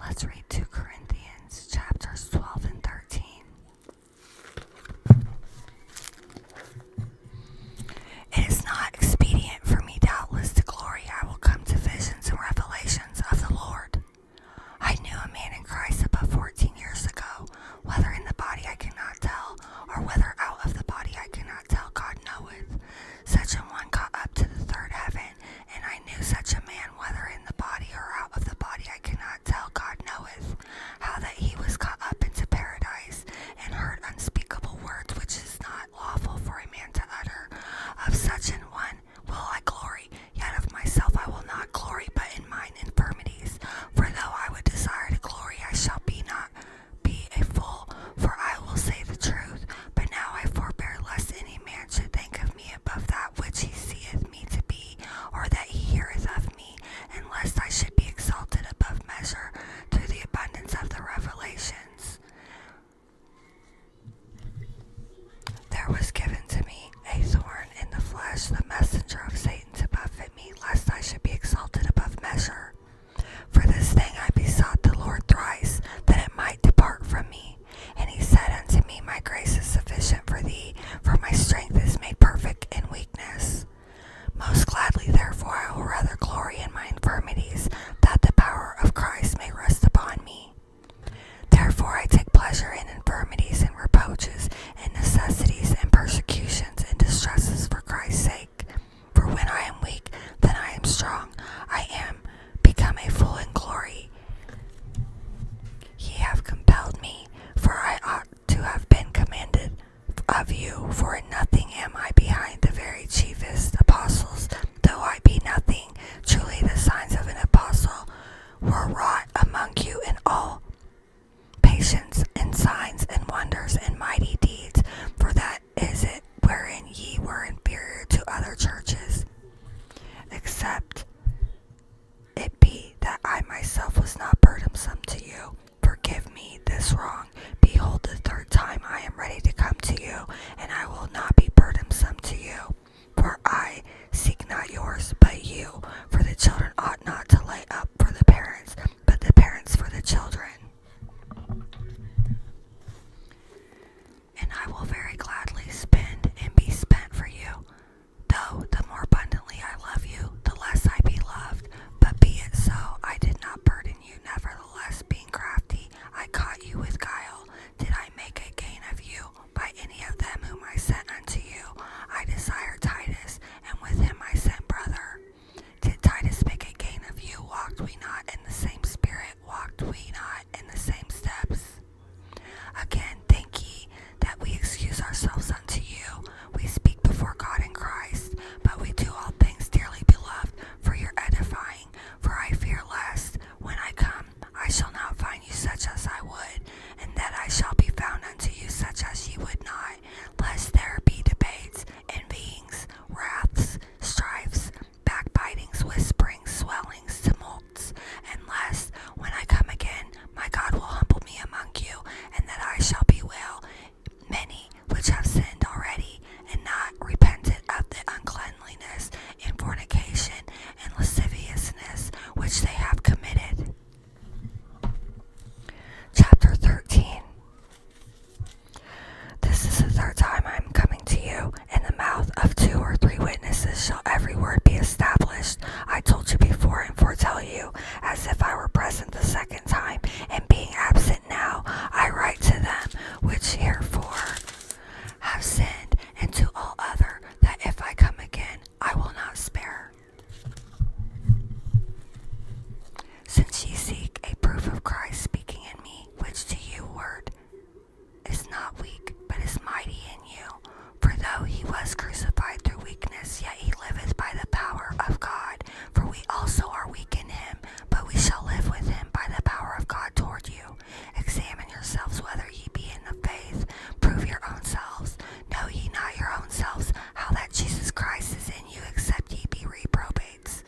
Let's read 2 Corinthians chapters 12 and 13. It is not expedient for me, doubtless, to glory. I will come to visions and revelations of the Lord. I knew a man in Christ about 14 years ago whether in the body I cannot tell, or whether out of the body I cannot tell, God knoweth. Such an one got up to the third heaven, and I knew such a man, whether in the body or out of the body I cannot tell, God knoweth. How that he was caught up into paradise, and heard unspeakable words which is not lawful for a man to utter. Of such an one will I glory, yet of myself I will not glory, but in mine infirmities. For though I would desire to glory, I shall be not be a fool, for I will say the truth. But now I forbear lest any man should think of me above that which he seeth me to be, or that he heareth of me, and lest I should be exalted above measure through the abundance of the revelations. There was given to me a thorn in the flesh, the messenger of Satan to buffet me, lest I should be exalted above measure. For this thing I besought the Lord thrice, that it might depart from me. And he said unto me, My grace is sufficient for thee, for my strength is made perfect in weakness. Most gladly, therefore, I will rather glory in my infirmities, that the power of Christ may rest upon me. Therefore, I take pleasure in infirmities and reproaches in necessities and persecutions and distresses for Christ's sake. For when I am weak, then I am strong. I am become a fool in glory. Ye have compelled me, for I ought to have been commanded of you. For in nothing am I behind the very chiefest apostles, though I be nothing. Truly the signs of an apostle were wrought among you in all patience and signs and wonders and mighty deeds, for that is it wherein ye were inferior to other churches, except it be that I myself was not burdensome to you. Forgive me this wrong. Behold, the third time I am ready to come to you, and I will not be burdensome to you. For I seek not yours, but you, for the children ought not to lay up for the parents, but the parents for the children. And I will very gladly spend and be spent for you. Though the more abundantly I love you, the less I be loved. But be it so, I did not burden you. Nevertheless, being crafty, I caught you with guile. Did I make a gain of you by any of them whom I sent unto you? I desire Titus, and with him I sent brother. Did Titus make a gain of you? Walked we not in the same spirit? Walked we not in the same steps? Again, thank ye that we excuse ourselves unto you. We speak before God in Christ, but we do all things, dearly beloved, for your edifying. For I fear lest, when I come, I shall not find you such as I would, and that I shall be found unto you such as ye would not, lest there be debates, envyings, wraths, strifes, backbitings, whisperings, swellings, tumults, unless when I come again, my God will humble me among you, and that I shall be well many which have sinned already, and not repented of the uncleanliness and fornication and lasciviousness which they have committed. Chapter 13 This is the third time I am coming to you. In the mouth of two or three witnesses shall every word be established. I told you before and foretell you, as if I were present the second time, and being absent now, I write to them which herefore have sinned, and to all other, that if I come again, I will not spare. Since ye seek a proof of Christ speaking in me, which to you word is not weak, but is mighty in you. For though he was crucified through weakness, yet he liveth by the power of God. For we also are weak in him, but we shall live with him by the power of God toward you. Examine yourselves whether ye be in the faith, prove your own selves. Know ye not your own selves how that Jesus Christ is in you, except ye be reprobates?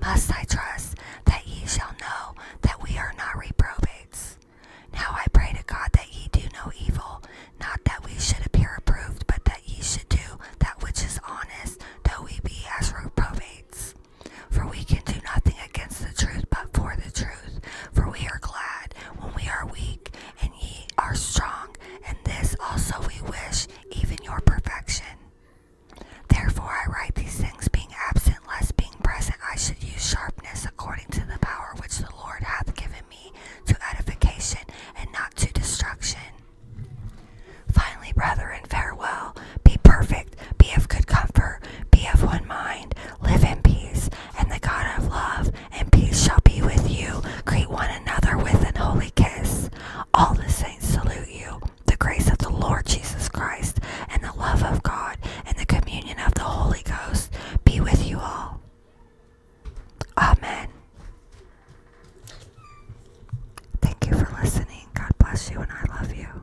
Must I trust that ye shall know that we are not reprobates? Now I pray to God that ye do no evil, not that we should appear approved, but that ye should do that which is honest, though we be as reprobates. For we can do nothing against the truth, but for the truth. For we are glad when we are weak, and ye are strong, and this also we wish, even your perfection. Therefore I write these things, being absent, lest being present I should use sharpness according to the power which the Lord hath given me to edification and not to destruction. Finally, brother, brethren, farewell. Be perfect, be of good comfort, be of one mind, live in peace, and the God of love and peace shall be with you. Greet one another with an holy kiss. All the saints salute you. The grace of the Lord Jesus Christ, and the love of God, and the communion of the Holy Ghost be with you all. Amen. Thank you for listening. God bless you, and I love you.